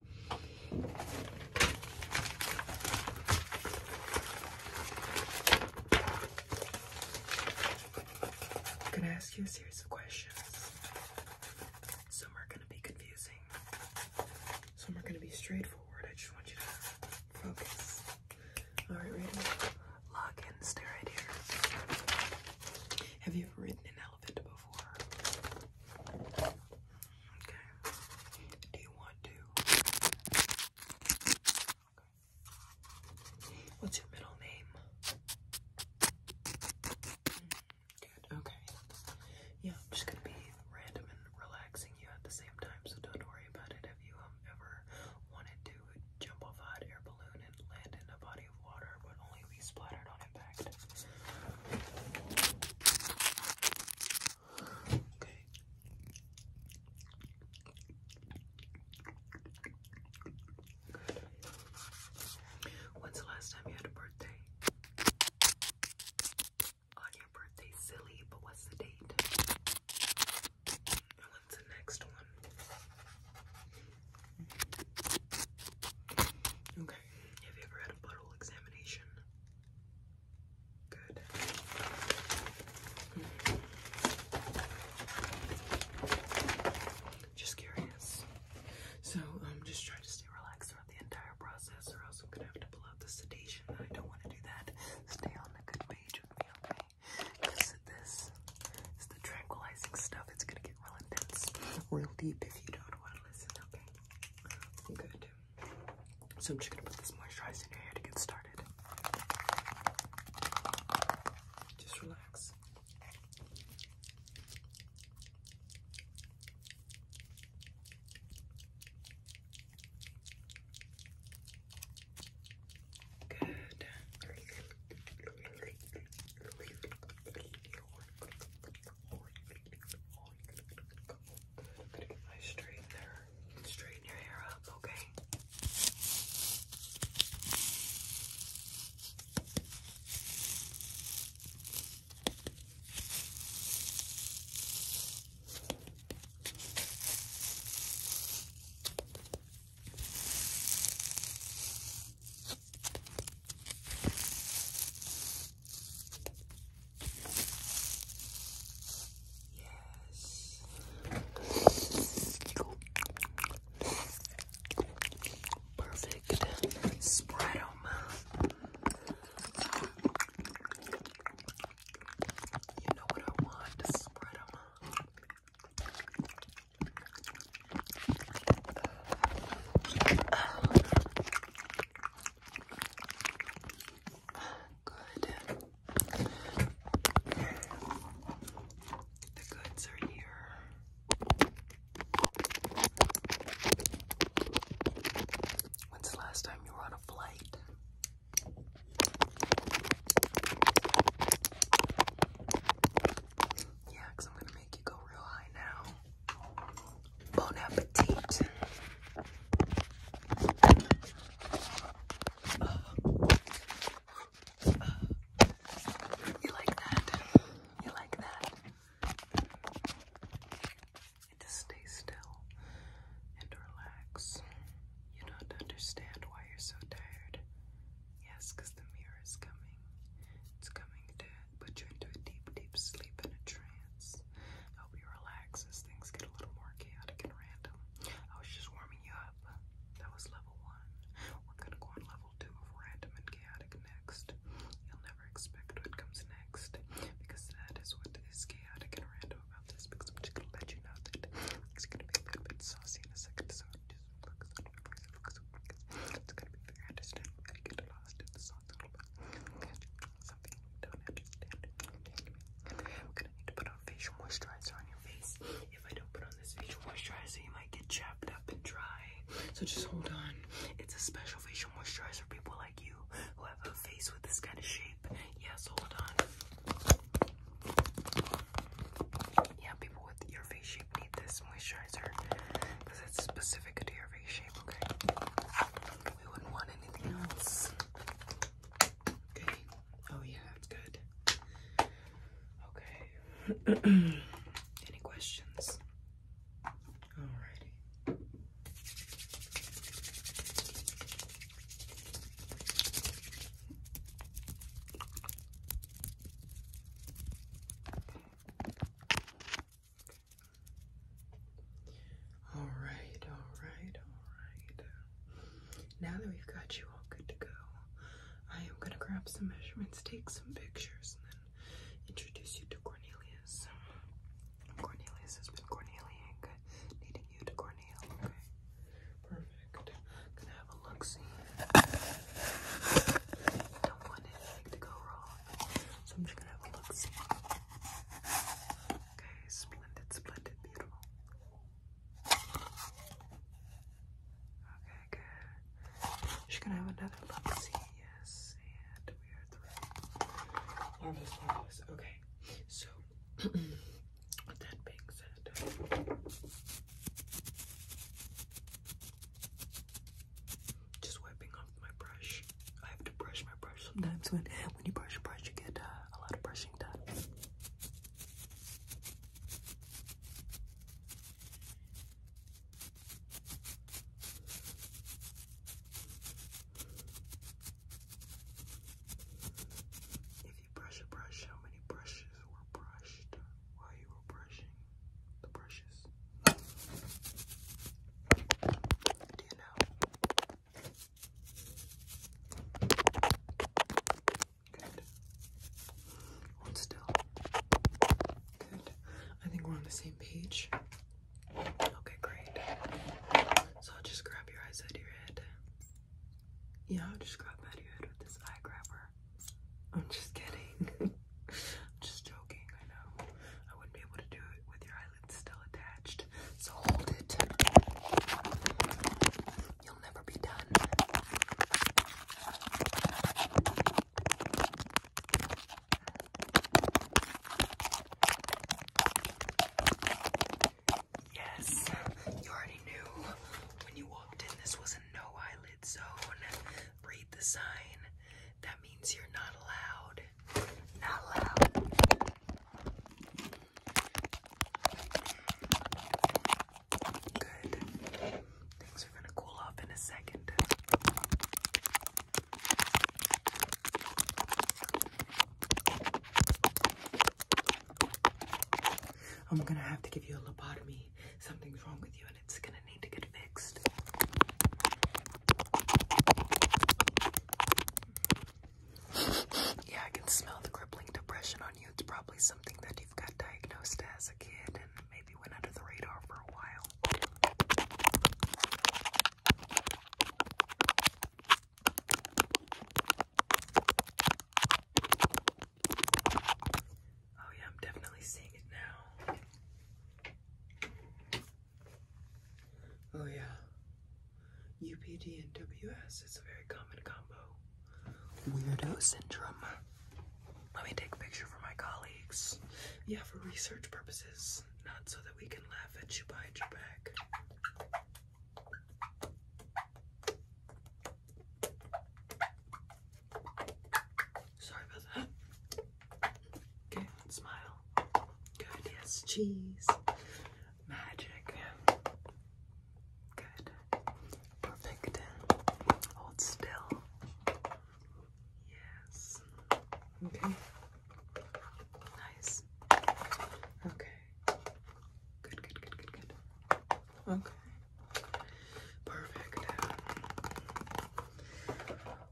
I'm gonna ask you a series of questions. Some are gonna be confusing, some are gonna be straightforward. I just want you to focus. Alright, ready? Lock in, stare right here. Have you ever ridden an elephant before? Okay. Do you want to? What's your middle name? Good. Okay. Yeah, I'm just gonna be random and relaxing you at the same time, so don't worry about it. Have you um, ever wanted to jump off hot air balloon and land in a body of water, but only be splattered on Okay. When's the last time you had a birthday? On your birthday, silly, but what's the date? And the next one? Okay. Have you ever had a butthole examination? Good. Just curious. So, um, just trying to stay relaxed throughout the entire process, or else I'm gonna have to pull out the sedation. I don't want to do that. Stay on the good page with me, okay? Because this is the tranquilizing stuff. It's gonna get real intense, real deep if you don't want to listen, okay? Good. So I'm just gonna put this moisturizer in your hair to get started. Just relax. Good. Nice straighten there. Straighten your hair up, okay? Yes. Perfect. Spread them. You know what I want? Spread uh, Good. The goods are here. When's the last time you were on a flight? Yeah, I'm going to make you go real high now. Bon appetit. you like that? You like that? just stay still and relax. You don't understand why you're so tired. Yes, the mirror is coming. It's coming to put you into a deep, deep sleep in a trance this. Help you relax as things get a little more chaotic and random. I was just warming you up. That was level one. We're gonna go on level two of random and chaotic next. You'll never expect what comes next because that is what is chaotic and random about this. Because I'm just gonna let you know that it's gonna be a little bit saucy in a second, so just focus on your voice focus It's gonna be very understandable to get lost in the sauce a little bit we do gonna need to put on facial moisturizer on your face. If I don't put on this facial moisturizer, you might get chapped up and dry. So just hold on. It's a special facial moisturizer for people like you who have a face with this kind of shape. Yes, hold on. Yeah, people with your face shape need this moisturizer because it's specific to your face shape, okay? We wouldn't want anything else. Okay. Oh yeah, that's good. Okay. Any questions? Alrighty. All right, all right, all right. Now that we've got you all good to go, I am going to grab some measurements, take some pictures, and then introduce you to Cornelius. Cornelius has been Corneliaing, needing you to Cornel, okay? Perfect. Gonna have a look see. Don't want anything to go wrong. So I'm just gonna have a look see. Okay, splendid, splendid, beautiful. Okay, good. She's gonna have another look. See, yes, and we are through. Marvelous, marvelous. Okay, so with that being said. Just wiping off my brush. I have to brush my brush sometimes. When when you brush your brush, you get uh, a lot of brushing done. If you brush a brush, how many brushes were brushed while you were brushing the brushes? Do you know? Good. still. Good. I think we're on the same page. Okay, great. So I'll just grab your eyes out of your head. Yeah, I'll just grab out of your head with this eye grabber. I'm just kidding. I'm just joking, I know. I wouldn't be able to do it with your eyelids still attached. So hold it. You'll never be done. Yes, you already knew when you walked in this was a no eyelid zone. Read the sign that means you're not allowed. Not allowed. Good. Things are gonna cool off in a second. I'm gonna have to give you a lobotomy. Something's wrong with you, and it's gonna yeah, I can smell the crippling depression on you. It's probably something that you've got diagnosed as a kid and maybe went under the radar for a while. Oh, yeah, I'm definitely seeing it now. Oh yeah. UPD and WS is a very common combo. Weirdo syndrome. Let me take a picture for my colleagues. Yeah, for research purposes, not so that we can laugh at you behind your back. Sorry about that. Okay, smile. Good, yes, cheese. Magic. Good. Perfect. Hold still. Yes. Okay. Nice. Okay. Good, good, good, good, good. Okay. Perfect.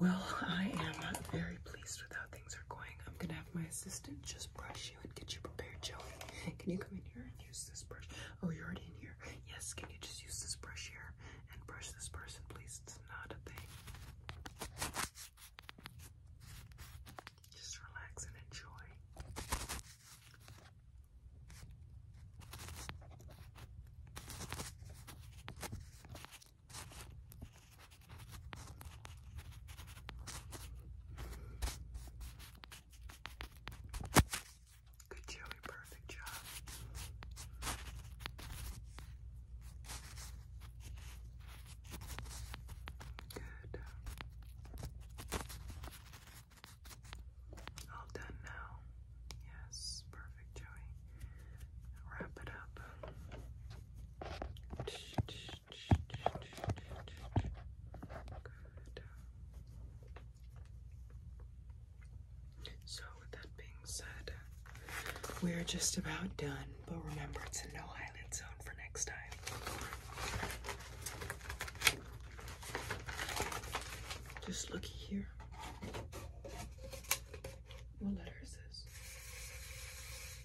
Well, I am very pleased with how things are going. I'm gonna have my assistant just brush you and get you prepared, Joey. Can you come in here and use this brush? Oh, you're already in here. Yes, can you just use this brush here and brush this person, please? It's not a thing. Just relax and enjoy. Good Joey, perfect job. Good. All done now. Yes, perfect. Wrap it up. So, with that being said, we are just about done, but remember it's a no eyelid zone for next time. Just looky here. What letter is this?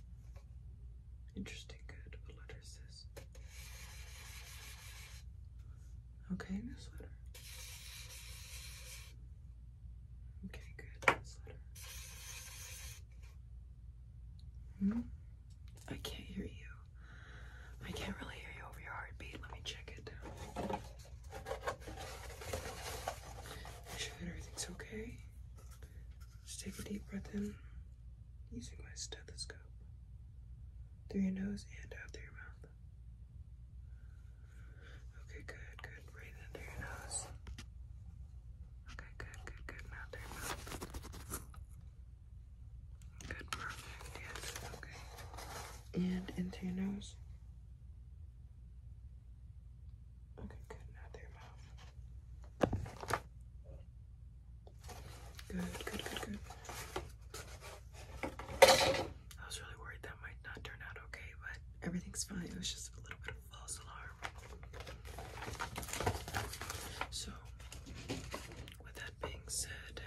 Interesting, good. What letter is this? Okay, this letter. Okay, good. This letter. Hmm? I can't hear you. I can't really hear you over your heartbeat. Let me check it. Make sure that everything's okay. Just take a deep breath in using my stethoscope through your nose and out through your mouth. Okay, good, good. Breathe in through your nose. Okay, good, good, good. Now through mouth. Good, perfect. Yes, okay. And into your nose. Okay, good. Now through mouth. Good, good, good, good. I was really worried that might not turn out okay, but everything's fine. It was just a little bit of false alarm. So, with that being said,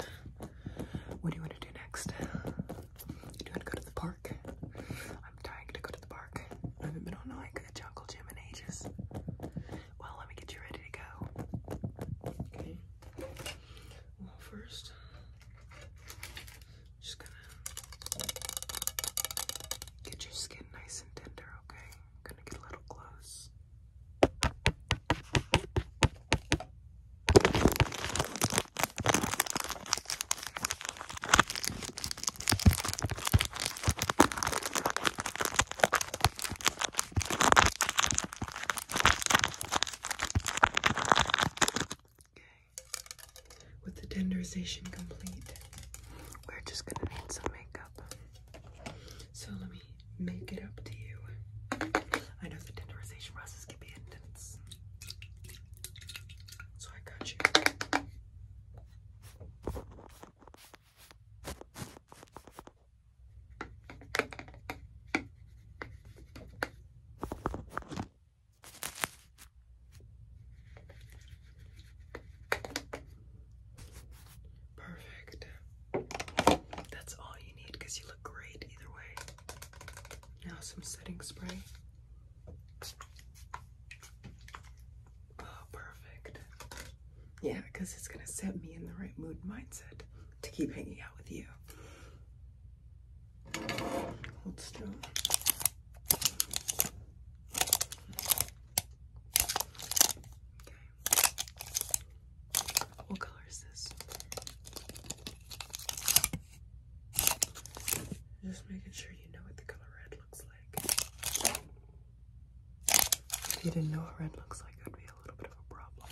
what do you want to do next? you want to go to the park? I'm dying to go to the park. I haven't been on like a jungle gym in ages. Well, let me get you ready to go. Okay. Well, 1st just gonna get your skin nice and tender. Okay. gonna get a little close. With the tenderization complete, we're just gonna need some makeup. So let me make it up to you. I know the tenderization process can be intense. So I got you. Perfect. That's all you need because you look great either way. Now, some setting spray. Oh, perfect. Yeah, because it's going to set me in the right mood mindset to keep hanging out with you. Hold still. Okay. What color is this? Just making sure you know what the color red looks like. If you didn't know what red looks like, that'd be a little bit of a problem.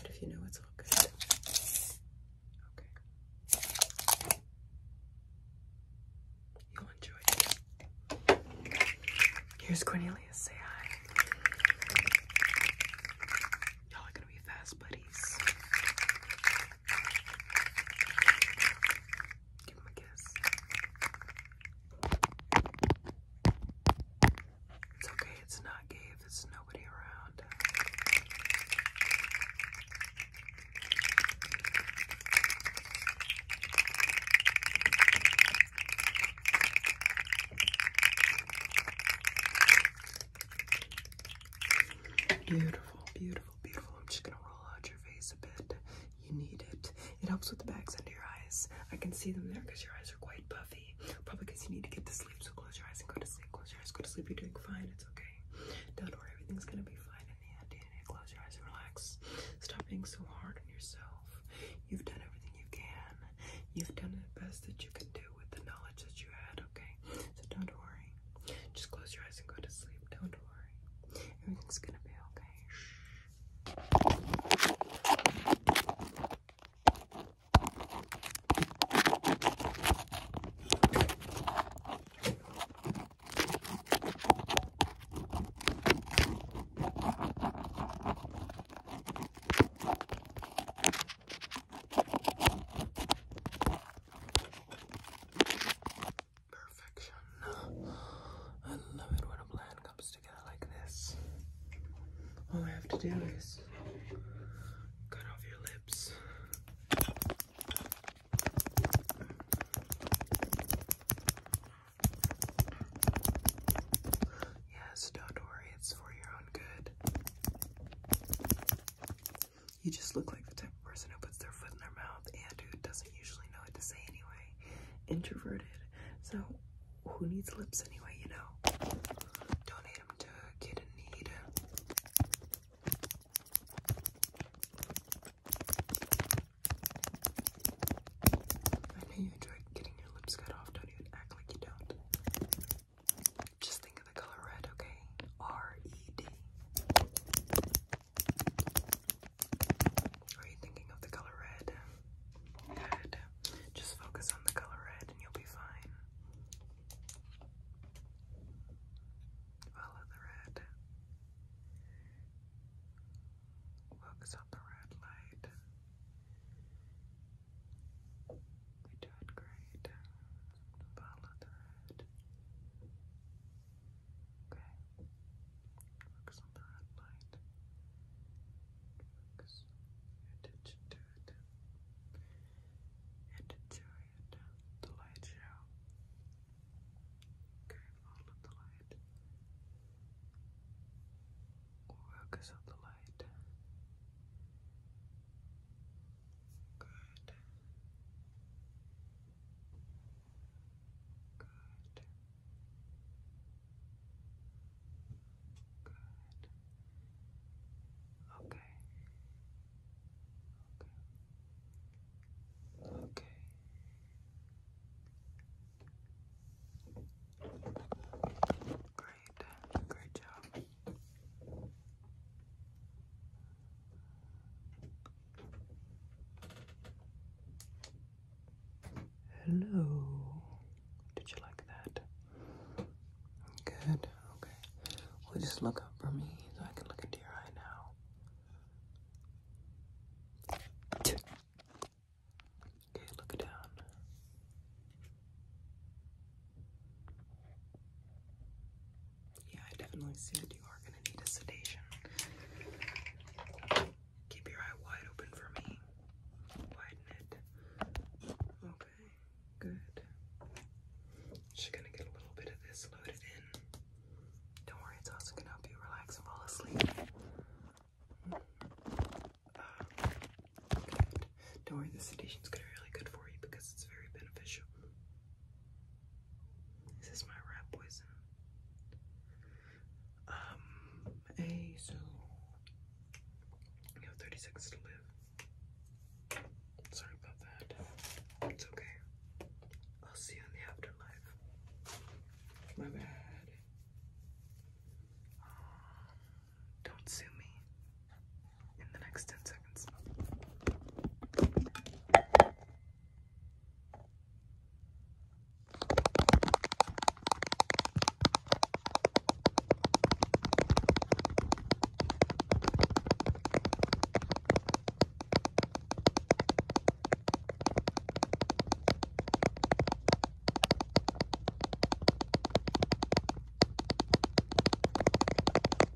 But if you know, it's all good. Okay. You'll enjoy Here's Cornelius. Say hi. Y'all are gonna be fast buddies. Give him a kiss. It's okay, it's not gay if nobody around. Beautiful, beautiful. Beautiful, I'm just gonna roll out your face a bit. You need it. It helps with the bags under your eyes. I can see them there because your eyes are quite puffy. Probably because you need to get to sleep. So close your eyes and go to sleep. Close your eyes, go to sleep. You're doing fine. It's okay. Don't worry. Everything's gonna be fine in the end. You need to close your eyes and relax. Stop being so hard on yourself. You've done everything you can. You've done the best that you can do with the knowledge that you had okay? So don't worry. Just close your eyes and go to sleep. Don't worry. Everything's gonna be okay. Shh. Perfection. I love it when a plan comes together like this. All I have to do is cut off your lips. Yes, don't worry, it's for your own good. You just look like the type of person who puts their foot in their mouth and who doesn't usually know what to say anyway. Introverted. So who needs lips anyway, you know? Donate them to a kid in need. I know you enjoy getting your lips cut off. Don't even act like you don't. Just think of the color red, okay? R-E-D. Are you thinking of the color red? Good. Just focus on the color red and you'll be fine. Follow the red. Focus on the red light. You're great follow the red. Okay. Focus on the light. Focus your attention And The light show. Okay, follow the light. Focus on the light. Good. Good. Good. Okay. Okay. Okay. Great. Great job. Hello. Did you like that? Good. Okay. Well, just look up for me so I can look into your eye now. Okay, look down. Yeah, I definitely see that you are going to need a sedation. Keep your eye wide open for me. Widen it. Okay, good. Just going to get a little bit of this loaded in. Don't worry, it's also going to help you relax and fall asleep. Mm-hmm. Uh, Don't worry, the sedation's going to be really good for you because it's very beneficial. This Is my rat poison? hey, um, so you have 30 seconds to live. Sorry about that. It's okay. I'll see you in the afterlife. My bad. don't sue me in the next 10 seconds.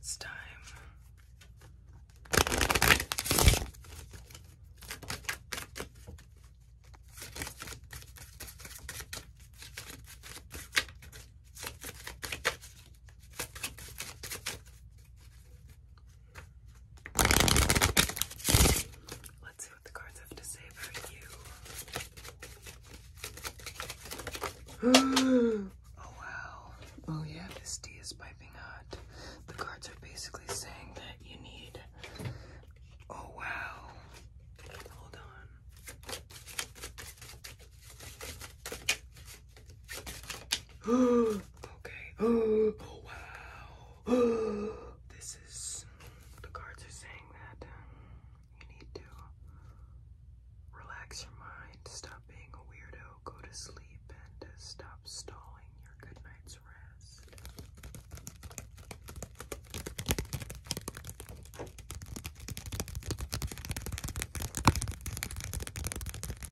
It's time. Let's see what the cards have to say about you. oh wow. Oh yeah, this tea is piping hot. The cards are basically saying that you need. Oh wow. Hold on. okay. Oh, wow. This is, the cards are saying that um, you need to relax your mind, stop being a weirdo, go to sleep, and uh, stop stalling your good night's rest.